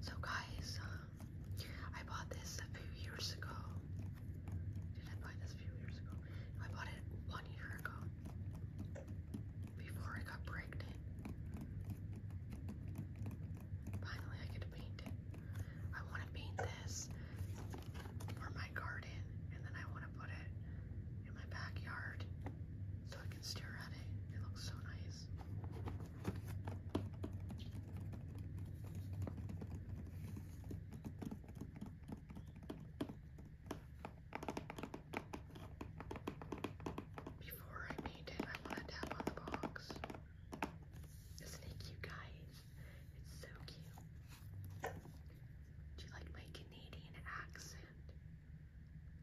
So guys, I bought this a few years ago. Did I buy this a few years ago? I bought it one year ago. Before I got pregnant. Finally, I get to paint it. I want to paint this for my garden, and then I want to put it in my backyard so I can stare at it. It looks so nice. Before I paint it, I want to tap on the box. Isn't it guys? It's so cute. Do you like my Canadian accent?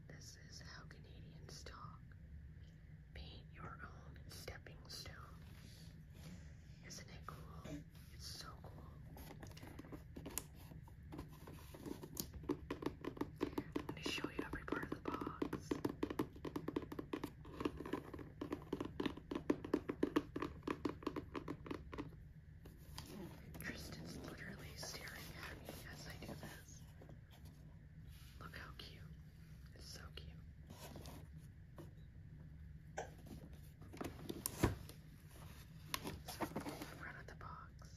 This is how Canadians talk. Paint your own stepping stone. Isn't it cool? It's so cool. I'm show you every part of the box. Tristan's literally staring at me as I do this. Look how cute. It's so cute. So, the front of the box,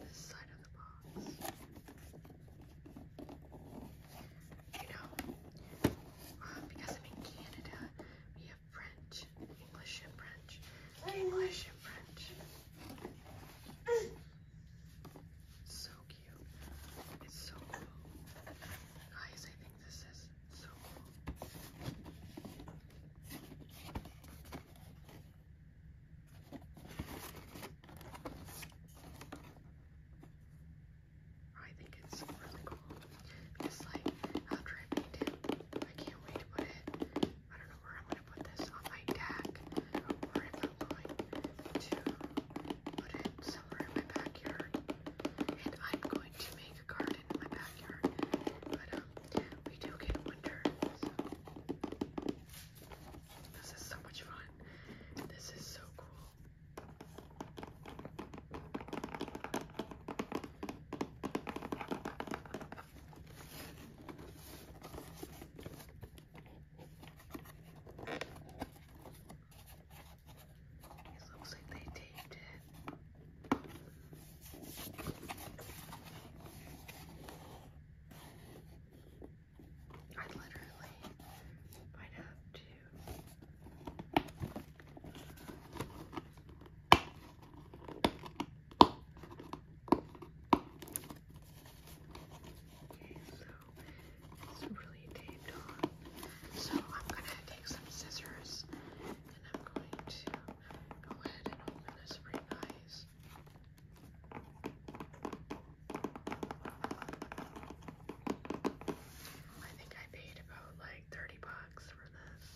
this side of the box, you know, um, because I'm in Canada, we have French, English and French, English and French. So cute. It's so cool. Guys, I think this is so cool. I think it's really cool. It's like after I paint it, I can't wait to put it. I don't know where I'm gonna put this on my deck, or if I'm going to put it somewhere in my backyard. And I'm going to make a garden in my backyard, but um, we do get winter. This is so much fun. This is so cool. It looks like they taped it. I literally might have to Okay, so it's really taped on. So I'm gonna take some scissors and I'm going to go ahead and open this pretty nice. I think I paid about like 30 bucks for this.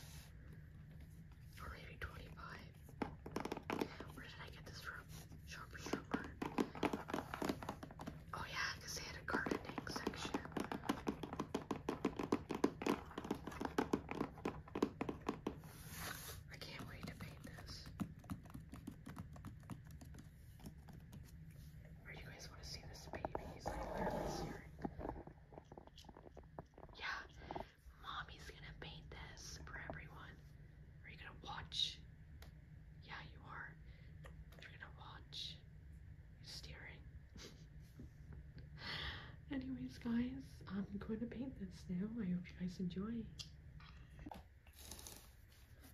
Or maybe 25. Where did I get this from? Shoppers Drug Oh yeah, they had a gardening section. I can't wait to paint this. Or you guys want to see this baby? He's like literally staring. Yeah, mommy's gonna paint this for everyone. Are you gonna watch? Yeah, you are. You're gonna watch. He's staring. Anyways, guys, I'm going to paint this now. I hope you guys enjoy.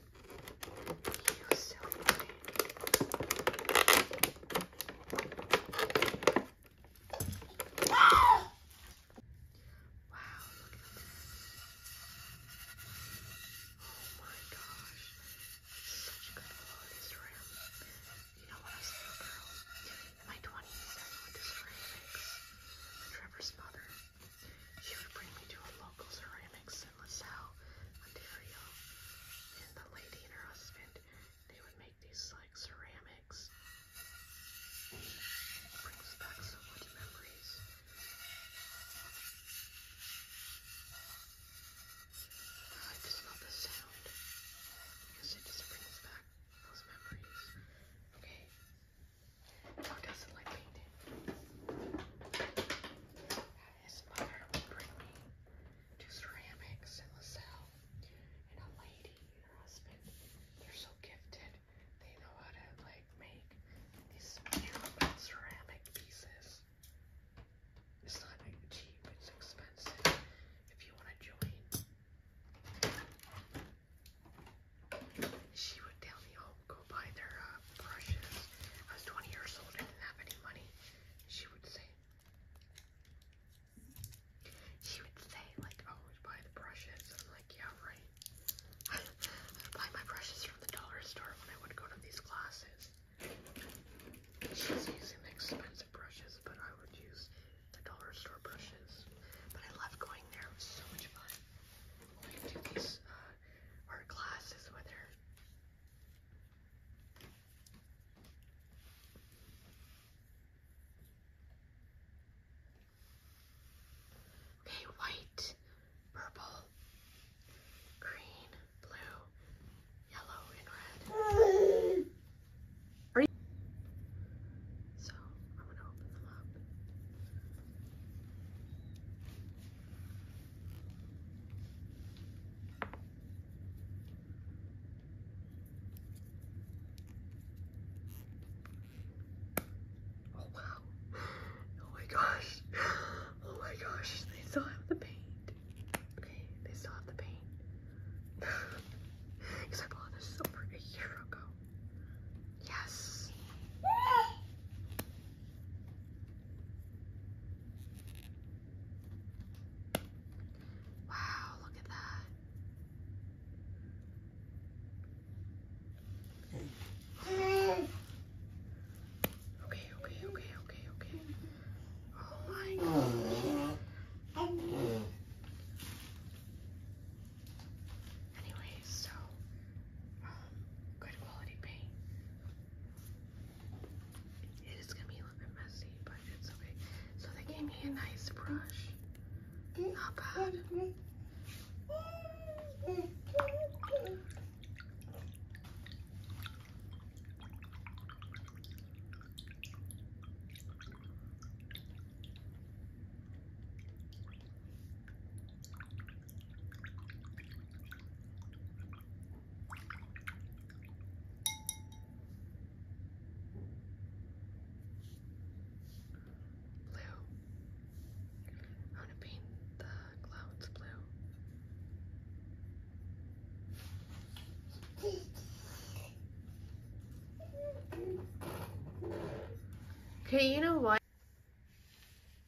You so funny. Wow, look at that. Oh my gosh. Such good quality shrimp. You know what I say, girl? In my 20s, I went to ceramics. Trevor's mother. She would bring me to a local ceramics and LaSalle and the lady and her husband they would make these like ceramics brings back so much memories I just love the sound because it just brings back those memories okay how does it like painting? his mother would bring me to ceramics in LaSalle. And a lady and her husband, they're so gifted. They know how to like make these beautiful ceramic pieces. It's not cheap, it's expensive if you want to join. She would tell me, oh, go buy their uh, uh, brushes. I was 20 years old and didn't have any money, she would say. She would say, like, oh, we buy the brushes. I'm like, yeah, right. I would buy my brushes from the dollar store when I would go to these classes. She was using the expensive brushes, but I would use the dollar store brushes. But I loved going there. It was so much fun. Going to these uh, art classes with her. Okay, white, purple, green, blue, yellow, and red. Are you so I'm gonna open them up. Oh wow. Oh my gosh. Oh my gosh. They still have the paint. Okay, they still have the paint. Because I bought this over a year ago. Yes. Wow, look at that. Okay, okay, okay, okay, okay. Oh my God! Anyways, so um, good quality paint. It is gonna be a little bit messy, but it's okay. So they gave me a nice brush. Not bad. Blue. I'm to paint the clouds blue. Okay, you know what?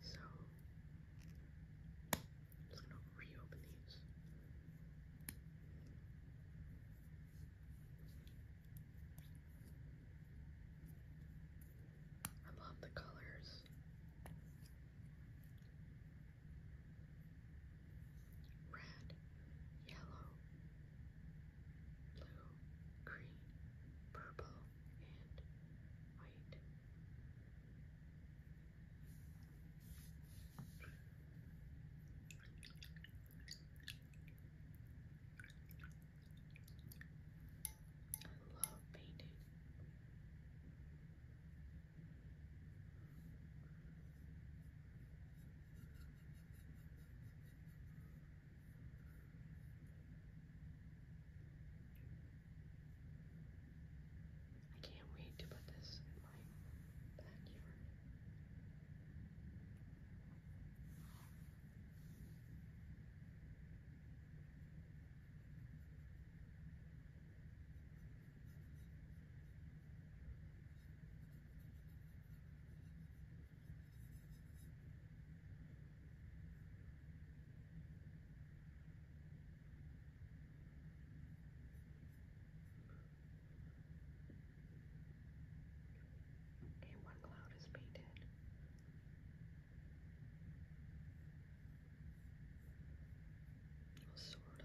So I'm just gonna reopen these. I love the colors red, yellow, blue, green, purple, and white. I love painting. I I can't wait to put this in my backyard. I Okay, one cloud is painted. Well, sorta.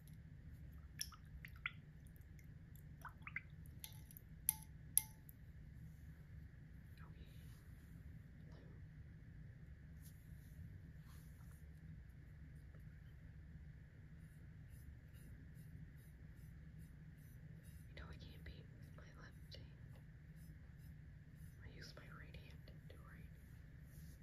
No, I can't be my left hand. I use my right hand to write.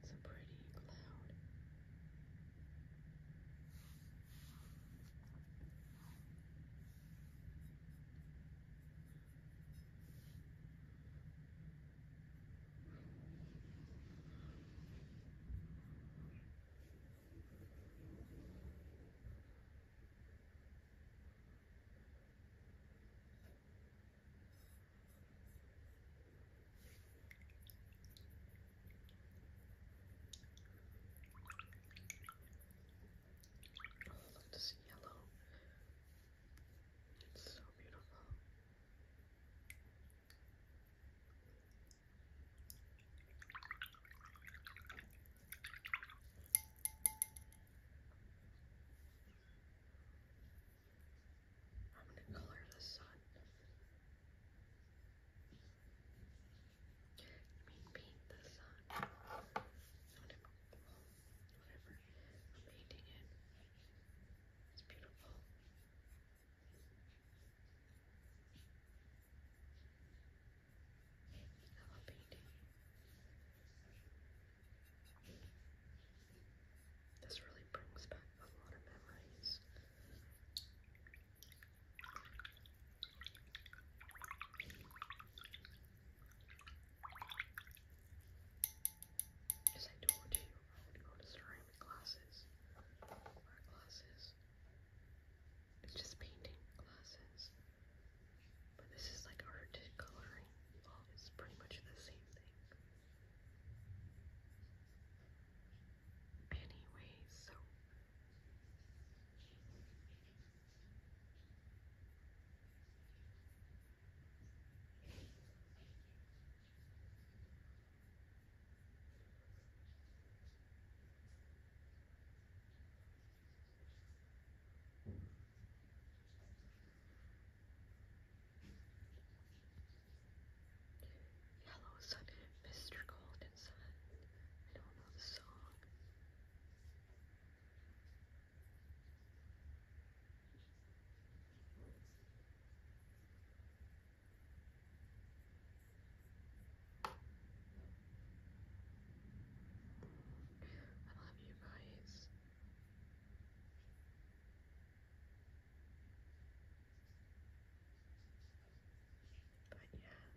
That's a pretty cloud. Look at this yellow. It's so beautiful. I'm going to color the sun. I mean, paint the sun. Whatever. Whatever. I'm painting it. It's beautiful. I Hello, This really brings back a lot of memories. As I told you, I would go to ceramic classes, art classes, it's just painting glasses. But this is like art coloring. Well, it's pretty much the same thing. Anyways, so Yellow Sun, Mr. Golden Sun. I don't know the song. I love you guys. But yeah,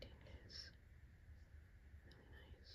painting is really nice.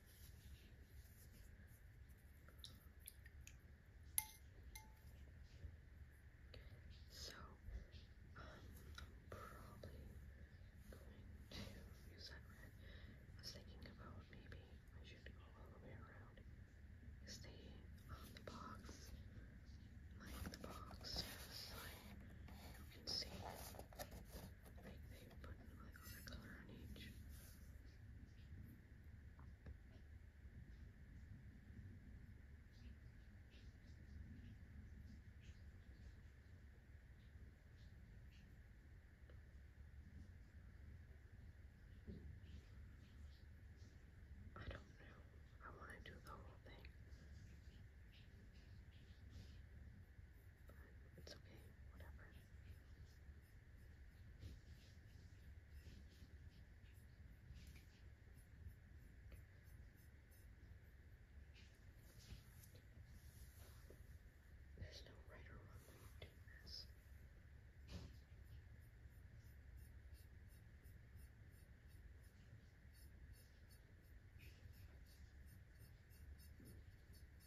So, um, I'm probably going to use that red. I was thinking about maybe I should go all the way around, stay on the box, like the box, so you can see, like they put like other color on each. I don't know. I want to do the whole thing. But it's okay, whatever. There's no right or wrong way of doing this.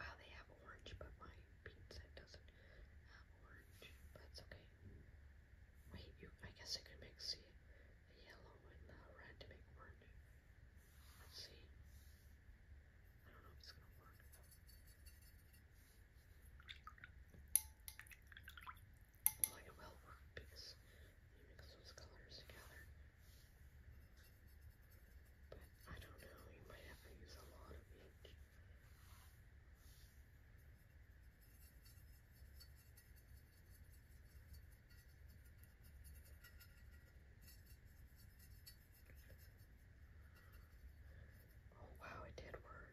Wow, they have orange, but my pizza doesn't have orange. But it's okay. Wait, you, I guess I could mix the, the yellow and the red to make orange. Let's see. I don't know if it's gonna work. Well, it will work because you mix those colors together. But I don't know, you might have to use a lot of each. Oh wow, it did work.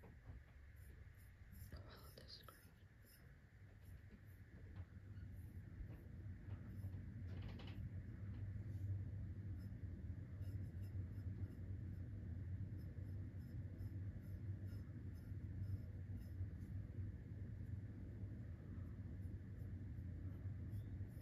Follow the screen.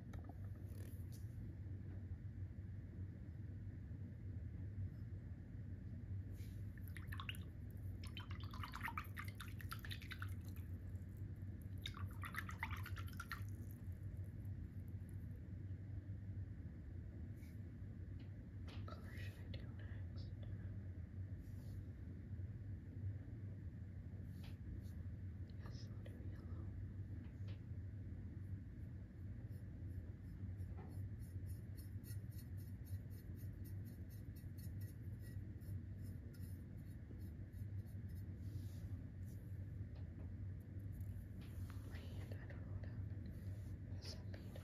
What should I do next? Yes, I'll do yellow hand, I don't know what happened. There's some paint on it. Whatever.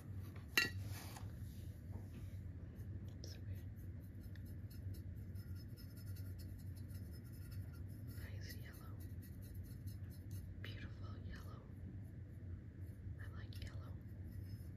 Nice yellow. Beautiful yellow. I like yellow. I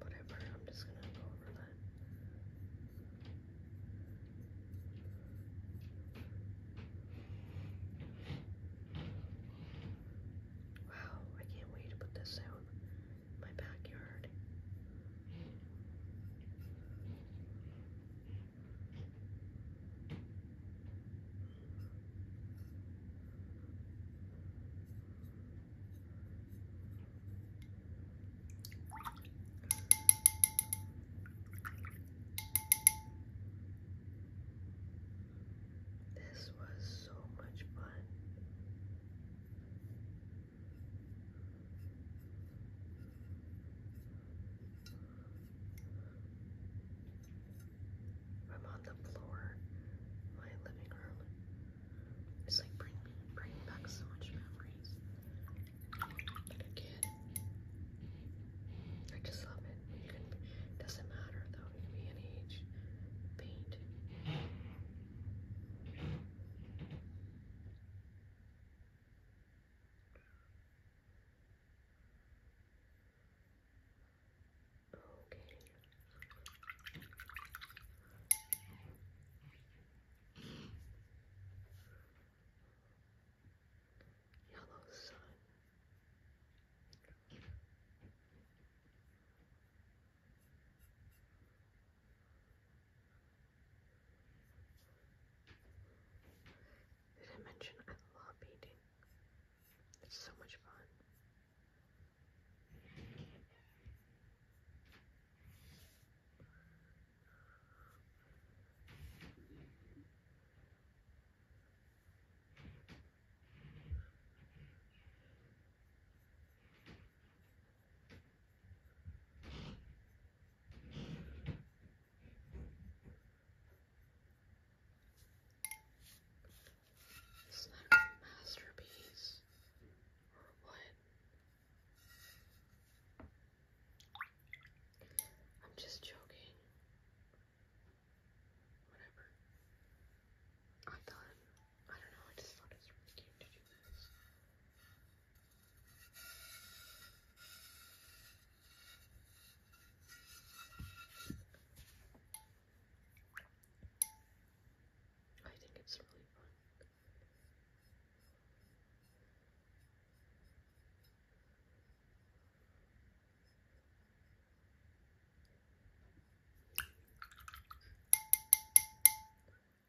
Whatever, I'm just gonna go over that. Wow, I can't wait to put this out in my backyard. This was so much fun. I'm on the floor, my living room. It's like bring, bringing back so much memories. But again, I just love it. doesn't matter though, you can be an age, paint. Okay. Yellow sun. Did I mention I love painting? It's so much fun. It's not a masterpiece or what? I'm just joking. Whatever. I thought, I don't know, I just thought it was really cute to do this. I think it's really fun.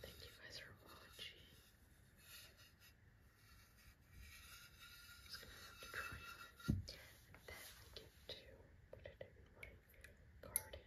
Thank you guys for watching. just gonna have to try on. then I get to put it in my garden.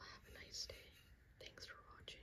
have a nice day. Thanks for watching.